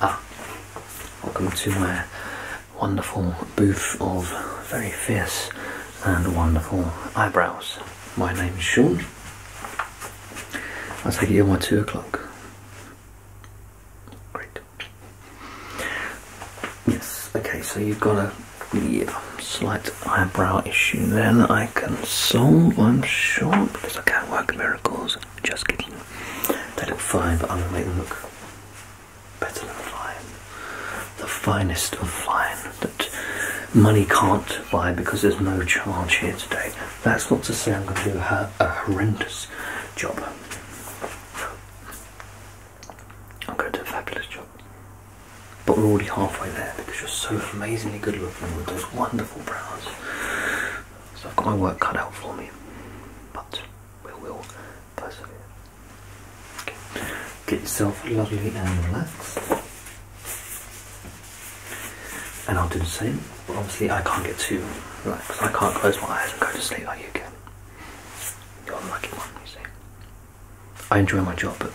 Ah, welcome to my wonderful booth of very fierce and wonderful eyebrows. My name is Sean. I take it you're two o'clock. Great. Yes, okay, so you've got a the slight eyebrow issue then I can solve, I'm sure, because I can not work miracles. Just kidding. They look fine, but I'm going to make them look better than fine. The finest of fine that money can't buy because there's no charge here today. That's not to say I'm going to do a, a horrendous job. I'm going to do a fabulous job. But we're already halfway there because you're so amazingly good looking with those wonderful brows. So I've got my work cut out for me. But we will persevere. Get yourself lovely and relaxed. And I'll do the same. But obviously I can't get too relaxed. I can't close my eyes and go to sleep like you can. You're the lucky one, you see. I enjoy my job, but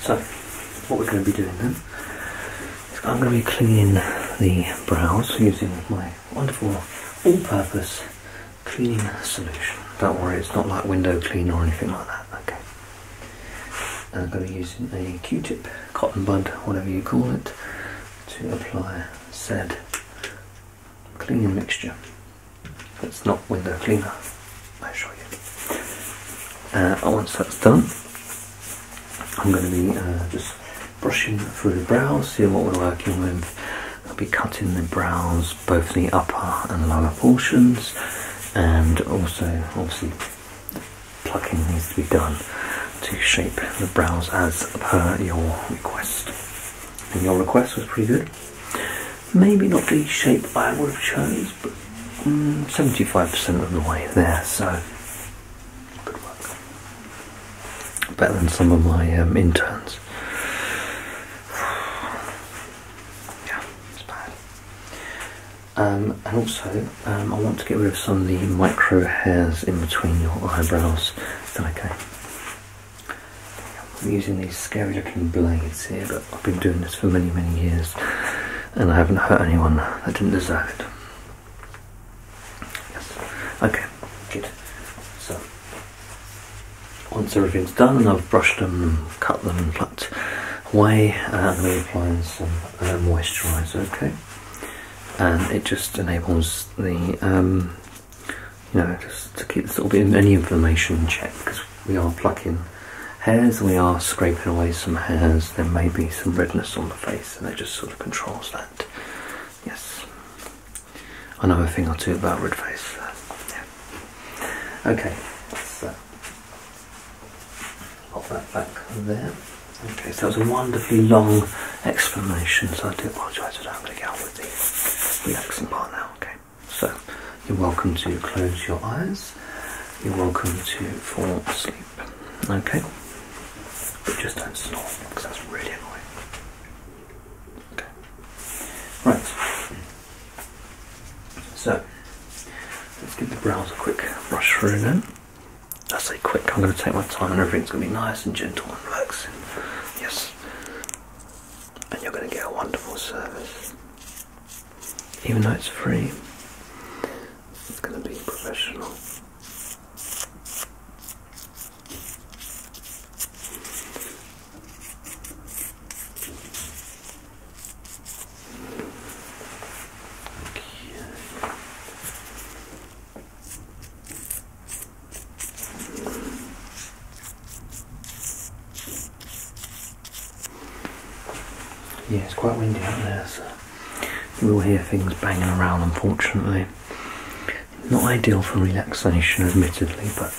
So, what we're going to be doing then, is I'm going to be cleaning the brows using my wonderful all-purpose cleaning solution. Don't worry, it's not like window cleaner or anything like that, okay? I'm going to be using a Q-tip, cotton bud, whatever you call it, to apply said cleaning mixture it's not window cleaner. i assure you. Uh, once that's done, I'm going to be uh, just brushing through the brows, seeing what we're working with. I'll be cutting the brows, both the upper and lower portions, and also obviously plucking needs to be done to shape the brows as per your request. And your request was pretty good maybe not the shape I would have chose, but 75% mm, of the way there, so good work. Better than some of my um, interns. yeah, it's bad. Um, and also, um, I want to get rid of some of the micro hairs in between your eyebrows. okay? I'm using these scary looking blades here, but I've been doing this for many, many years and I haven't hurt anyone I didn't deserve it. Okay, good. So, once everything's done and I've brushed them, cut them, plucked away, uh, and I'm going uh, some moisturiser, okay? And it just enables the um, you know, just to keep sort of in any inflammation checked because we are plucking hairs, we are scraping away some hairs, there may be some redness on the face, and it just sort of controls that. Yes, Another know a thing or two about red face. Okay, so uh, pop that back there. Okay, so that was a wonderfully long explanation, so I do apologise for I'm going to get on with the relaxing part now, okay? So you're welcome to close your eyes. You're welcome to fall asleep. Okay? But just don't snore, because that's really annoying. Okay. Right. So let's give the brows a quick brush through now. I say quick, I'm going to take my time and everything's going to be nice and gentle and relaxing. Yes and you're going to get a wonderful service. Even though it's free, it's going to be professional. Okay. Yeah, it's quite windy out there, so you will hear things banging around, unfortunately. Not ideal for relaxation, admittedly, but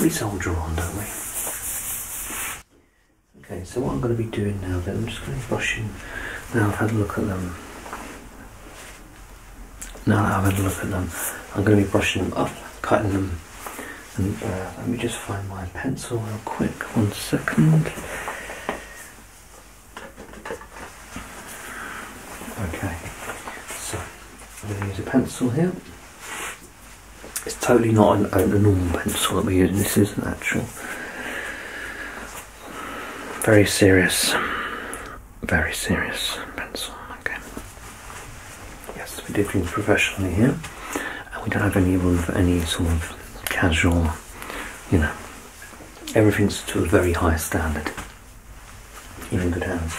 we soldier on, don't we? Okay, so what I'm going to be doing now then, I'm just going to brush in. Now I've had a look at them. Now i am had a look at them, I'm going to be brushing them up, cutting them. And uh, let me just find my pencil real quick, one second. Okay, so I'm going to use a pencil here. It's totally not an, ordinary pencil that we using. this is an actual, very serious very serious pencil. Okay. Yes, we do things professionally here, and we don't have any with any sort of casual. You know, everything's to a very high standard. You're in good hands.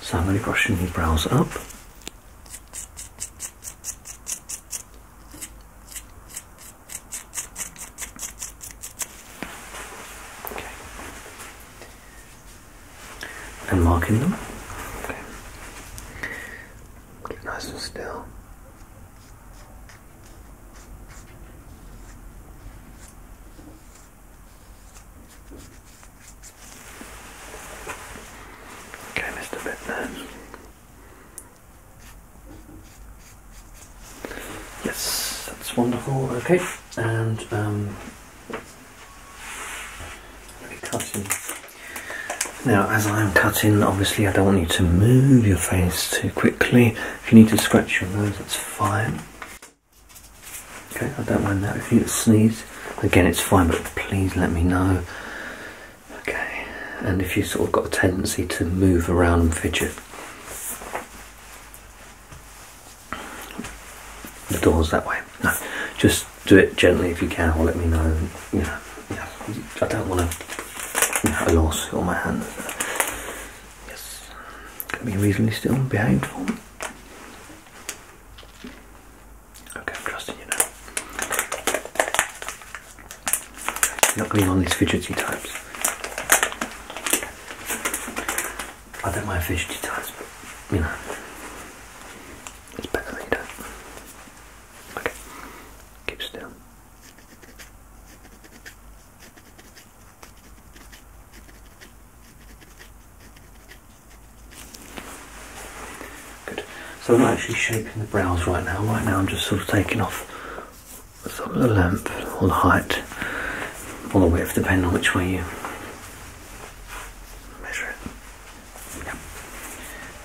So I'm going to brush your brows up. Okay and marking them. Okay. Keep nice and still. Okay, Mr. Bitman. Yes, that's wonderful. Okay, and um, now, as I'm cutting, obviously I don't want you to move your face too quickly. If you need to scratch your nose, that's fine. Okay, I don't mind that. If you sneeze, again, it's fine, but please let me know. Okay, and if you sort of got a tendency to move around and fidget the doors that way. just do it gently if you can, or let me know. You know, I don't want to you know, a lawsuit on my hands. Yes, can be reasonably still and Okay, I'm trusting you now. not going on these fidgety types. I don't mind fish details, but you know, it's better later. you Okay, keep still. Good. So I'm actually shaping the brows right now. Right now I'm just sort of taking off some of the length or the height or the width, depending on which way you measure it.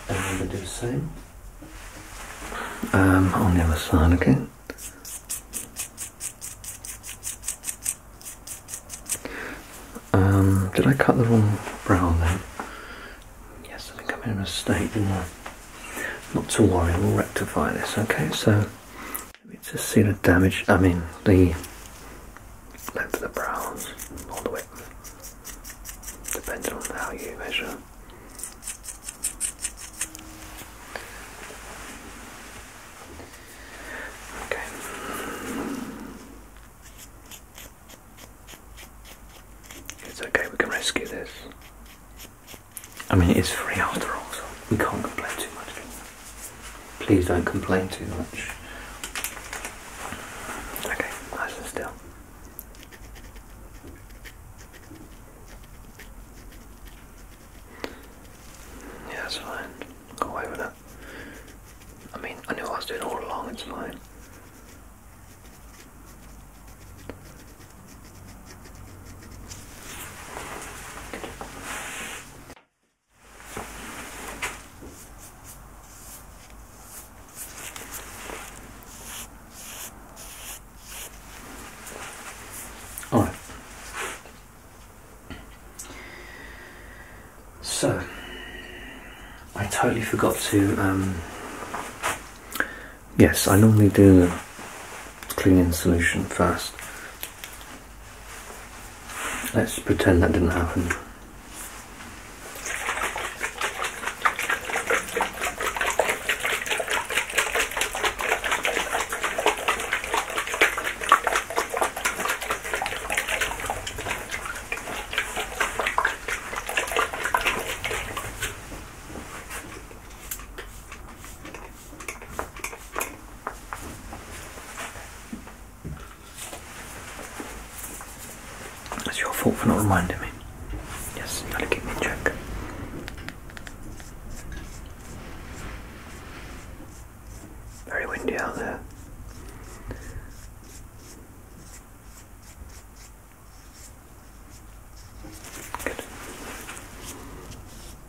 And I'm do the same um, on the other side again. Um, did I cut the wrong brow then? Yes, I think I made a mistake, didn't I? Not to worry, we'll rectify this, okay? So let me just see the damage, I mean, the length of the brows, all the way. depending on how you measure. Okay. It's okay, we can rescue this. I mean, it is free after all, so we can't complain too much. Please don't complain too much. Okay, nice and still. Yeah, that's fine. Go away with that. I mean, I knew I was doing all along, it's fine. All right. So, I totally forgot to. Um, yes, I normally do the cleaning solution first, Let's pretend that didn't happen. It's your fault for not reminding me. Yes, you gotta keep me in check. Very windy out there. Good.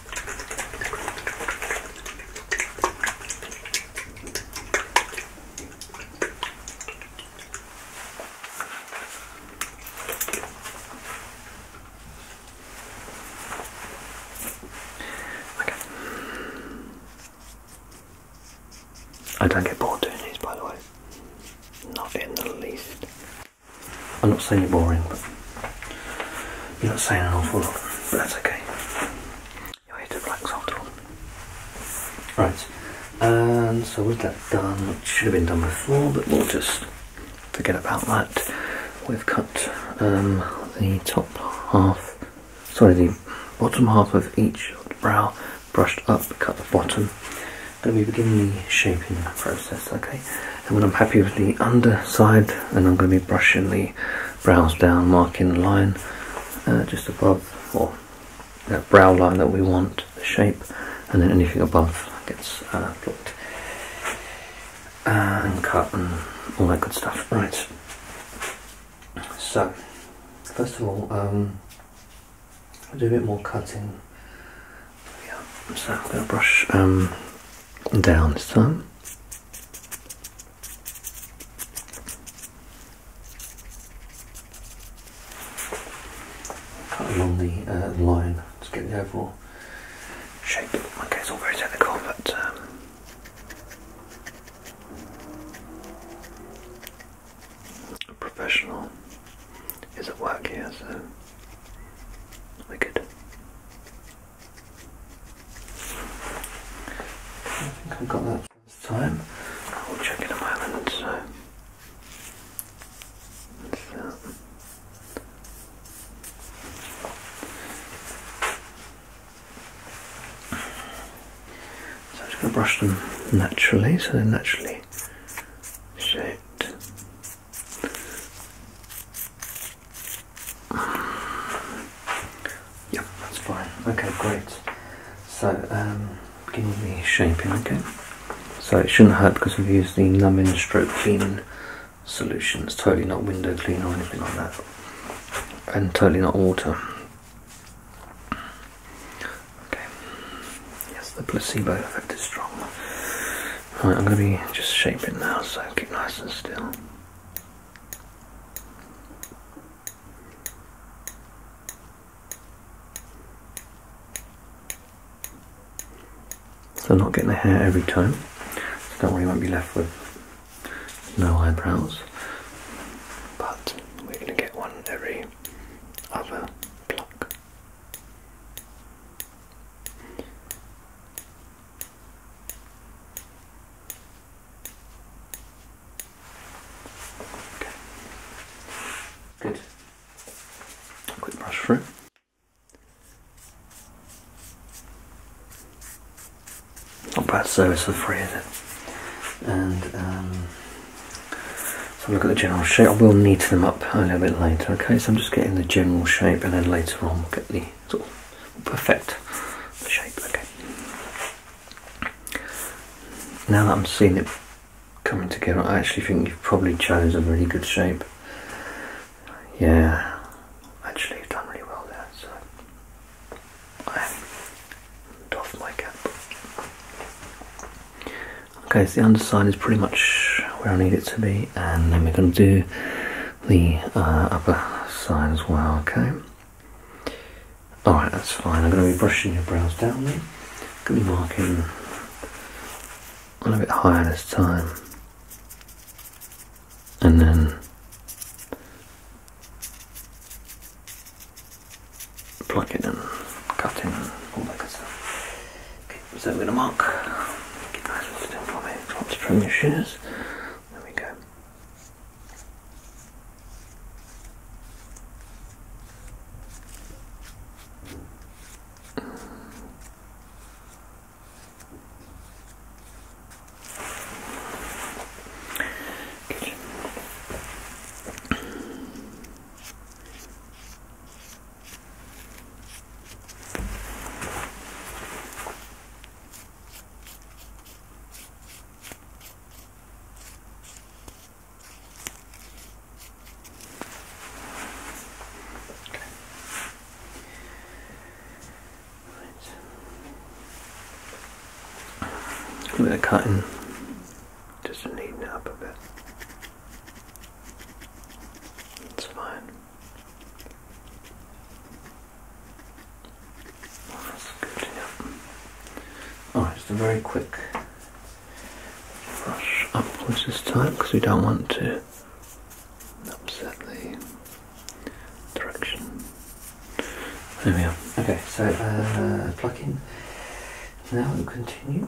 Okay. I don't get bored doing these, by the way. Not in the least. I'm not saying you're boring, but you're not saying an awful lot, but that's okay. You're here to relax after all. Right, and so with that done, it should have been done before, but we'll just forget about that. We've cut um, the top half, sorry, the bottom half of each brow brushed up, cut the bottom. and we begin the shaping process, okay? and when I'm happy with the underside then I'm going to be brushing the brows down marking the line uh, just above or that uh, brow line that we want the shape and then anything above gets uh, blocked and cut and all that good stuff right so first of all um, i do a bit more cutting so I'm going to brush um, down thumb, cut along the uh, line to get the overall shape. Okay, it's all very technical, but. Um, a professional is it working? so we I think I've got that this time. I'll check in a moment, so. so. So I'm just going to brush them naturally, so they're naturally shaped. Yep, that's fine. Okay, great. So, um, begin with me shaping, again. So it shouldn't hurt because we've used the numbing stroke cleaning solution. It's totally not window cleaner or anything like that. And totally not water. Okay. Yes, the placebo effect is strong. I'm going to be just shaping now, so keep nice and still. So not getting the hair every time. So don't worry, you won't be left with no eyebrows. But we're going to get one every other pluck. Good. Quick brush through. Not bad service for free, is it? And um, so look at the general shape. I will neaten them up a little bit later, okay? So I'm just getting the general shape and then later on we'll get the we perfect the shape. Okay. Now that I'm seeing it coming together, I actually think you've probably chosen a really good shape. Yeah, actually you've done really well there, so I my cap. Okay, so the underside is pretty much where I need it to be, and then we're going to do the uh, upper side as well, okay? Alright, that's fine. I'm going to be brushing your brows down there. going to be marking a little bit higher this time. And then plucking and cutting and all that good stuff so we're going to mark. Get nice and still for me. Drop to trim your shoes. There we go. I'm gonna cut cutting, just neaten it up a bit. It's fine. Oh, Alright, just a very quick rush upwards this time because we don't want to upset the direction. There we are. Okay, so uh, plug in. Now we'll continue.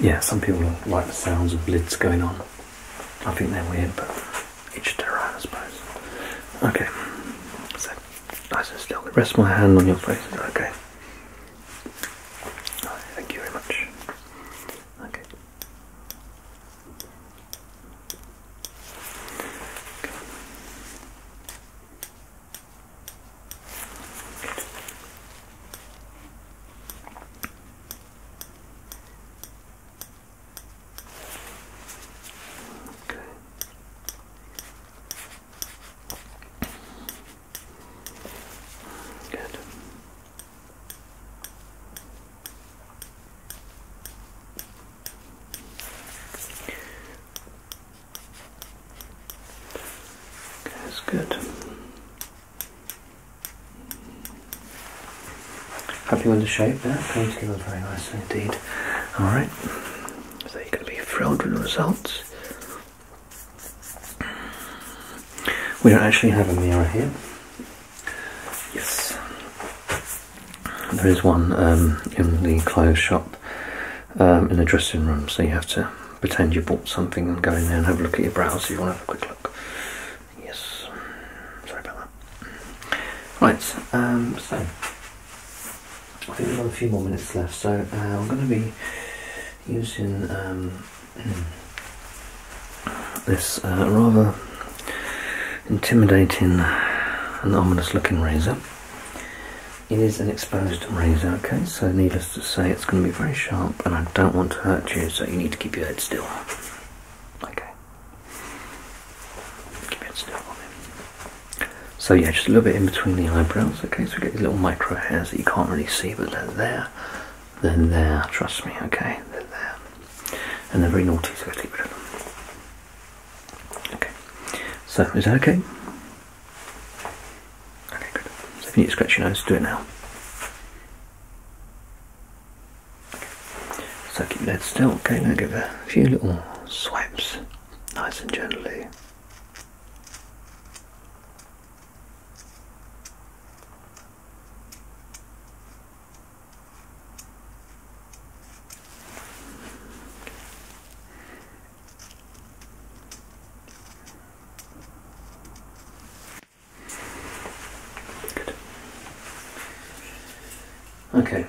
yeah, some people like the sounds of lids going on. I think they're weird, but each their own, I suppose. Okay, so nice and still. Rest my hand on your face. Okay. Thank you very much. okay. Okay. Good. that's good. Happy with the shape there, coming together very nicely indeed. Alright, so you're going to be thrilled with the results. We don't actually have a mirror here. Yes. There is one um, in the clothes shop um, in the dressing room, so you have to pretend you bought something and go in there and have a look at your brows if you want have a quick Yes, sorry about that. Right, um, so I think we've got a few more minutes left, so uh, I'm going to be using um, this uh, rather intimidating and ominous looking razor. It is an exposed razor, okay, so needless to say, it's going to be very sharp, and I don't want to hurt you, so you need to keep your head still. Okay. Keep your still So, yeah, just a little bit in between the eyebrows, okay? So, we get these little micro hairs that you can't really see, but they're there. They're there, trust me, okay? they there. And they're very naughty, so get rid them. Okay. So, is that okay? Okay, good. So, if you need to scratch your nose, do it now. So keep that still, okay? Now give a few little swipes, nice and gently. Good. Okay.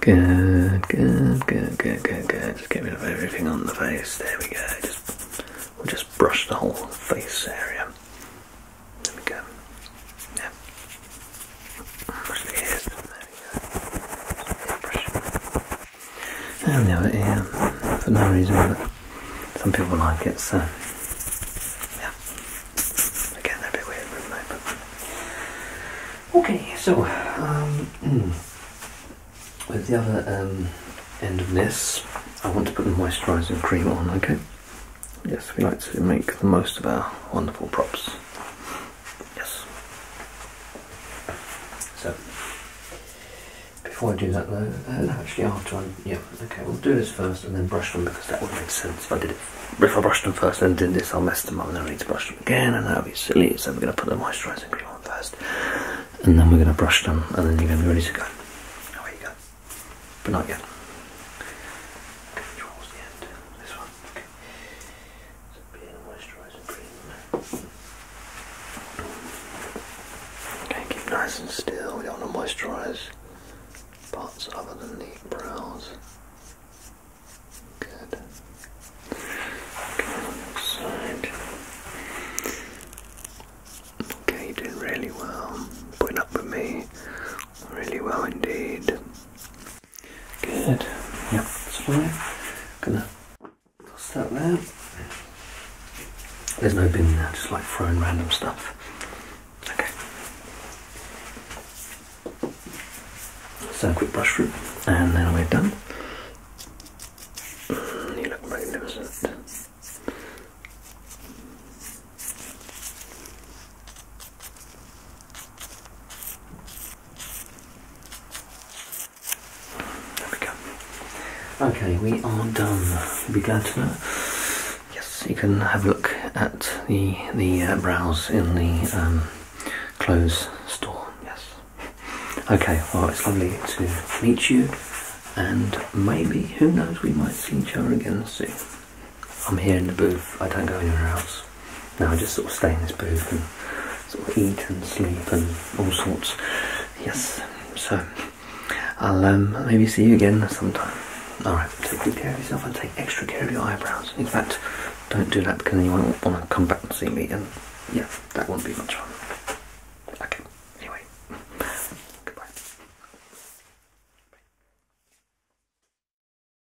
Good, good, good, good, good, good. Just get rid of everything on the face. There we go. Just we'll just brush the whole face area. There we go. Yeah. Brush the ears. There and the other ear, for no reason, but some people like it, so yeah. Again, a bit weird but okay. So um, hmm. with the other um, end of this, I want to put the moisturising cream on. Okay. Yes, we like to make the most of our wonderful props. Yes. So, before I do that though, uh, no, actually after I, yeah, okay, we'll do this first and then brush them because that would make sense if I did it. If I brushed them first and did this, I'll mess them up and then I need to brush them again and that'll be silly. So we're going to put the moisturising cream on first and then we're going to brush them and then you're going to be ready to go. Away you go. But not yet. This one. Okay a beard moisturising cream. Okay, keep nice and still. We don't want to moisturise parts other than the brows. Good. Okay, side. Okay, you're doing really well. Putting up with me. Really well indeed. Good. Yeah, that's fine. Gonna toss that there. There's no bin there, just like throwing random stuff. Okay. So quick brush through, and then we're done. Mm, you look magnificent. There we go. Okay, we are done. You'll be glad to know. Yes, you can have a look at the the uh, brows in the um, clothes store. Yes. Okay. Well, it's lovely to meet you, and maybe who knows, we might see each other again soon. I'm here in the booth, I don't go anywhere else. No, I just sort of stay in this booth and sort of eat and sleep and all sorts. Yes, so I'll um, maybe see you again sometime. Alright, take good care of yourself and take extra care of your eyebrows. In fact, don't do that because then you won't want to come back and see me and yeah, that won't be much fun. Okay, anyway, goodbye.